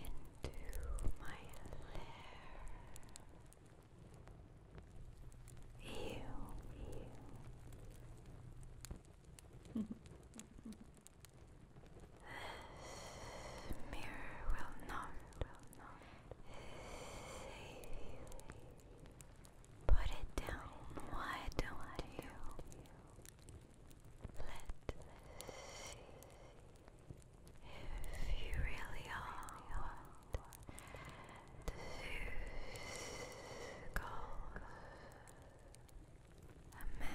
into my lair. Ew. This mirror will not, will not save you. Put it down. Why don't you let's see if you really are what a man?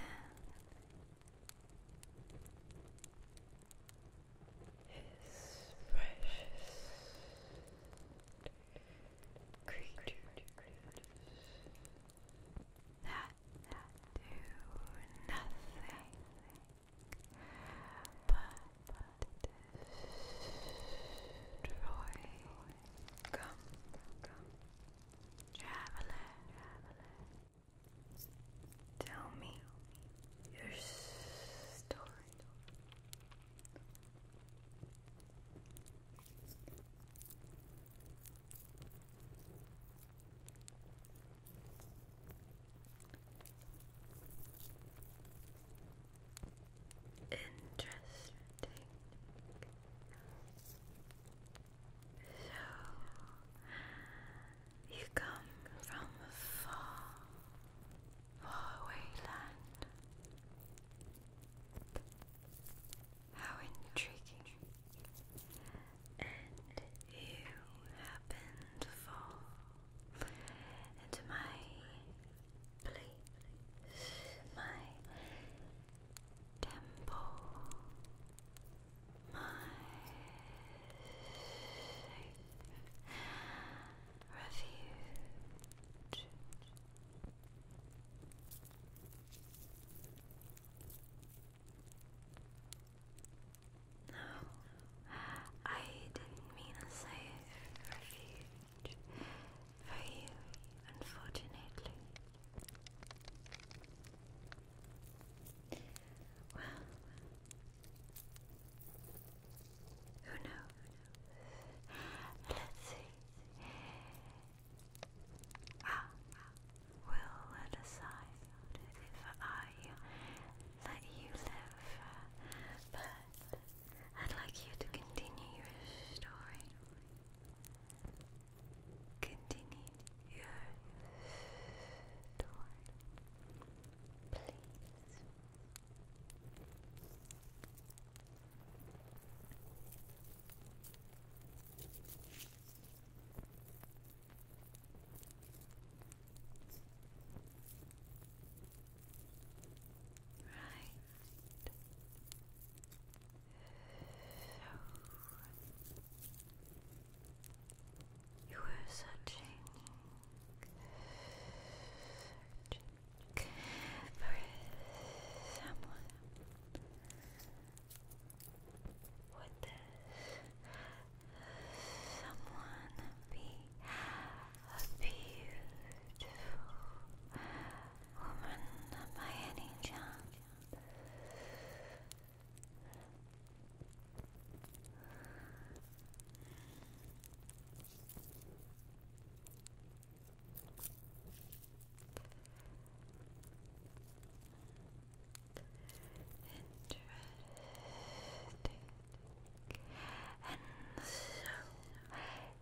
his precious creatures that do nothing but destroy gum, traveler, Tell me your story. Interesting. So you come from far faraway land. How intriguing. And you happen to fall into my place, my temple, my refuge. No, I didn't mean a safe refuge for you, unfortunately. Well, who knows? Let's see. I will decide if I let you live, but I'd like you to continue your story. Continue your story. Please. Right. So you were searching for someone be a beautiful woman by any chance? Interesting. And so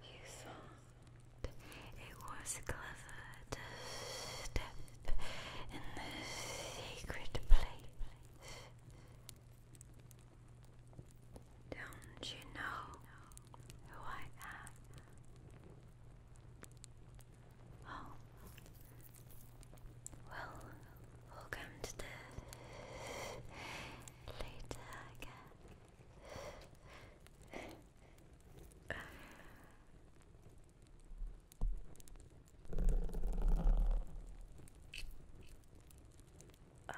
you thought it was clever to in the sacred place don't you know who I am? Oh, well, welcome to the later, I I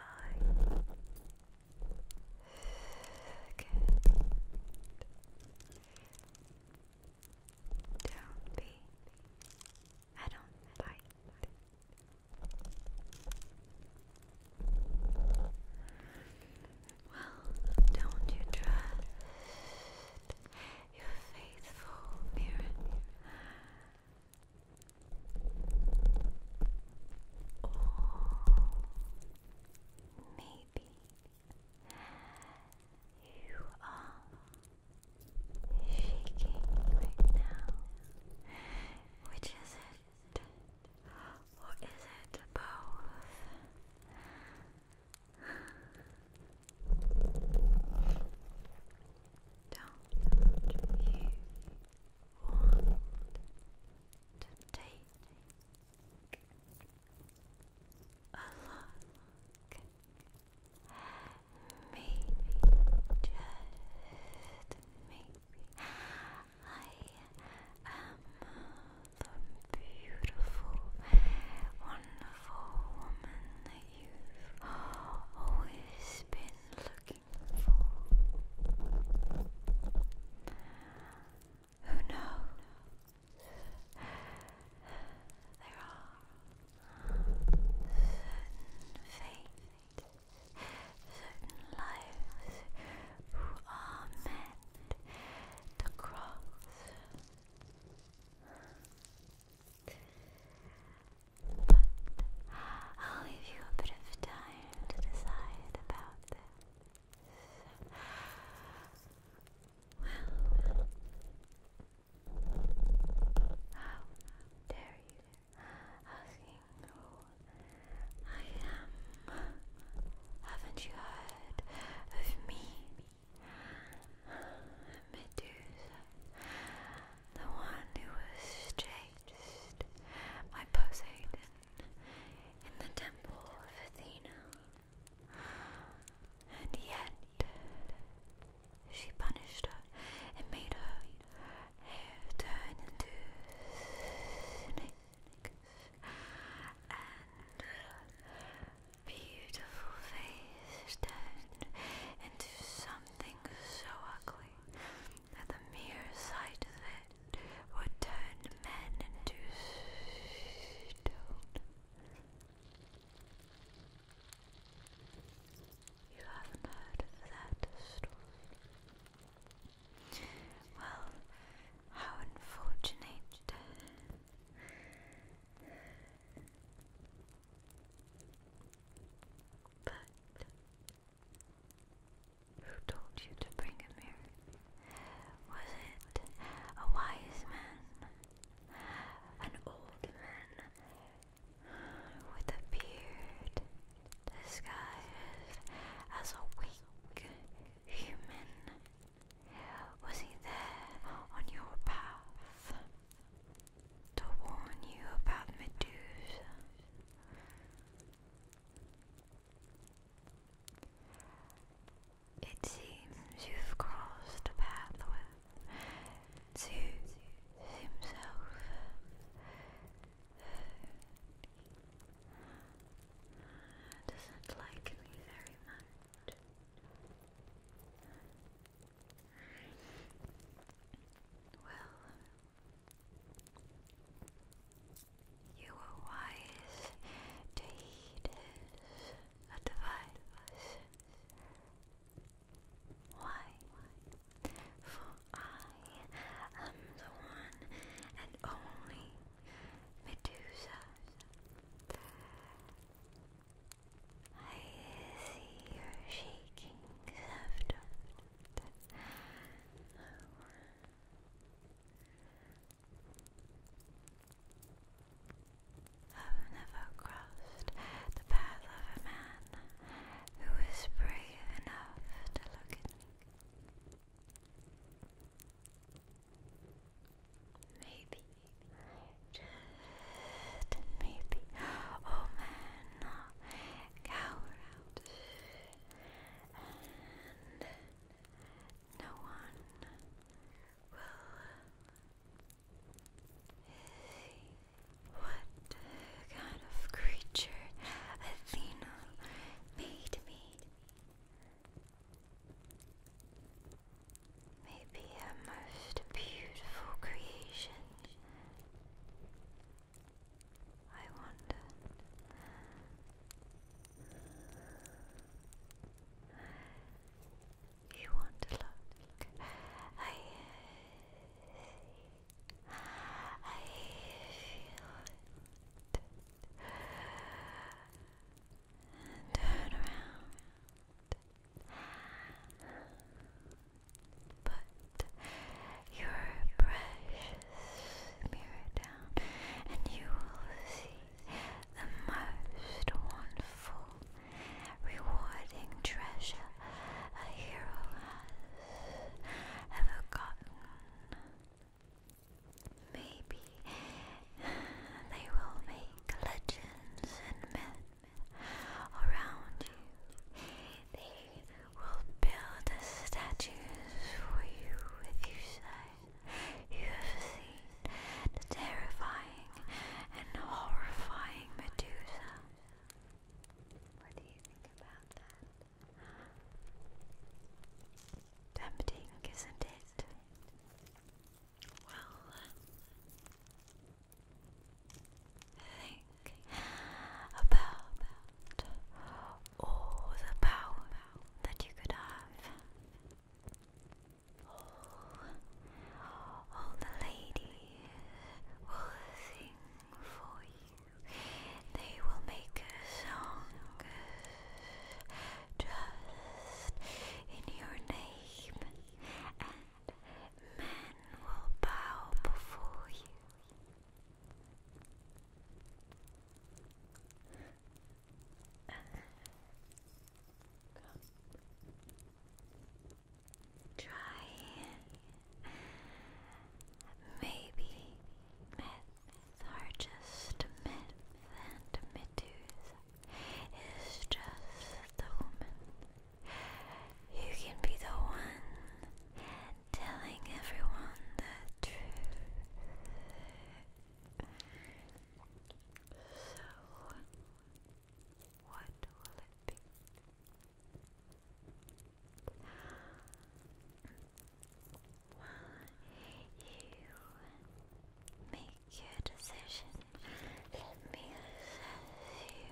can't don't be I don't fight well don't you trust your faithful mirror or maybe you are shaking right now. Which is it? Or is it both? Don't you want to take a look maybe, just maybe I am the beautiful, wonderful woman that you've always been looking looking for. Who knows? There are certain fates, certain lives who are meant to cross. But I'll leave you a bit of time to decide about this. Well, how dare you asking who I am? Haven't you heard of me? Medusa the one who was chased by Poseidon in the temple of Athena, and yet she punished her and made her hair turn into snakes beautiful face turned into something so ugly that the mere sight of it would turn men into stone. You haven't heard that story. Well, how unfortunate. But who told you to bring him here? Was it a wise man? An old man with a beard disguised as a weak human? Was he there on your path to warn you about Medusa? It seems you've crossed a pathway to himself. Doesn't like me very much. Well, you were wise to heed his advice. Why? For I am the one and only Medusa. I see your shaking left. I've never crossed the path of a man who is brave enough to look at me. Maybe, just maybe, old men will cower out and no one will see what kind of creature Athena made me. Maybe a most beautiful creation I wondered. You want to look? I, I feel Turn around. Put your precious mirror down, and you will see the most wonderful, rewarding treasure a hero has ever gotten. Maybe they will make legends and myths around you. They will build statues for you with your sight. You have seen the terrifying and horrifying Medusa. What do you think about that? Tempting, isn't it? Well, Think about all the power that you could have. All, the ladies will sing for you. They will make a song just in your name, and men will bow before you. Try maybe myth are just myth and mythos is just the woman. You can be the one telling everyone the truth. So, what will it be? Well, you make your decision. Let me assess you.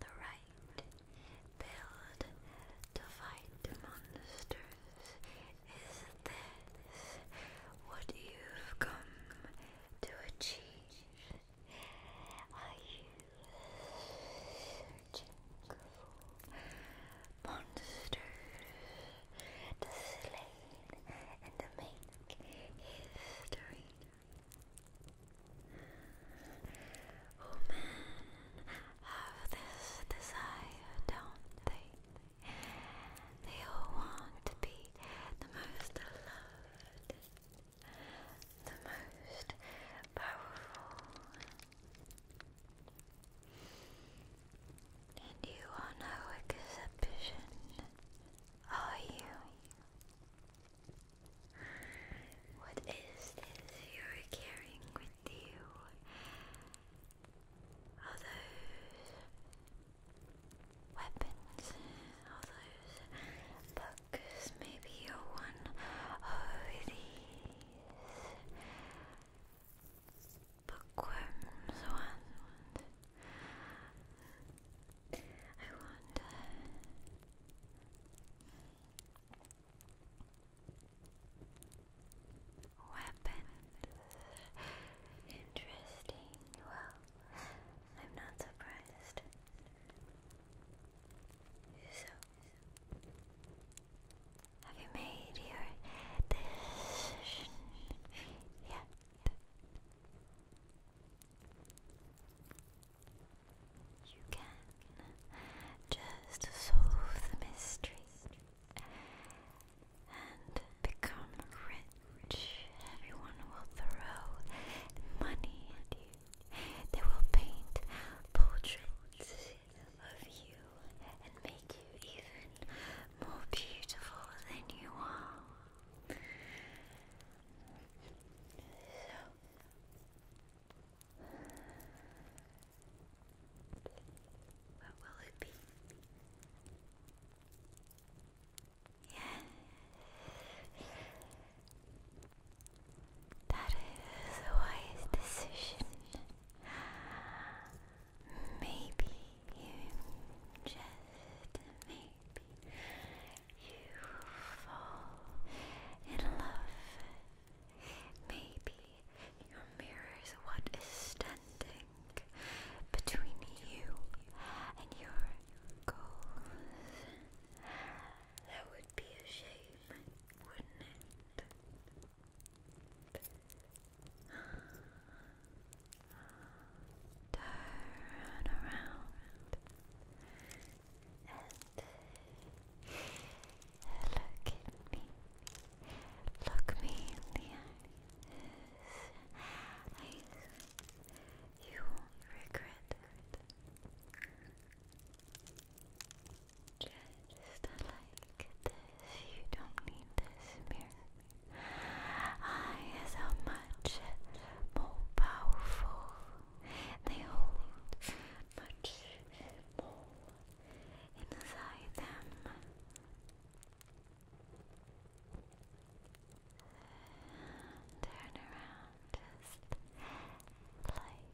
the right. Build to fight the monsters. Is this what you've come to achieve? Are you searching for monsters to slay and to make history? Women have this desire, don't they? They all want to be the most loved, the most powerful. And you are no exception, are you? What is this you're carrying with you? All those weapons, all those books, maybe you're one of these bookworms one. I wonder Weapons. Interesting. Well, I'm not surprised. So, have you made your decision yet? You can just solve the mystery and become rich. Everyone will throw money at you. They will paint portraits of you and make you even more beautiful than you are. What will it be? Yes. That is a wise decision. Maybe you just maybe you fall in love Maybe your mirror is what is standing between you and your goals. That would be a shame, wouldn't it? Turn around Look at me. Look me in the eyes. you won't regret it. Just like this, you don't need this mirror. I is how much more powerful. They hold much more inside them. Turn around just like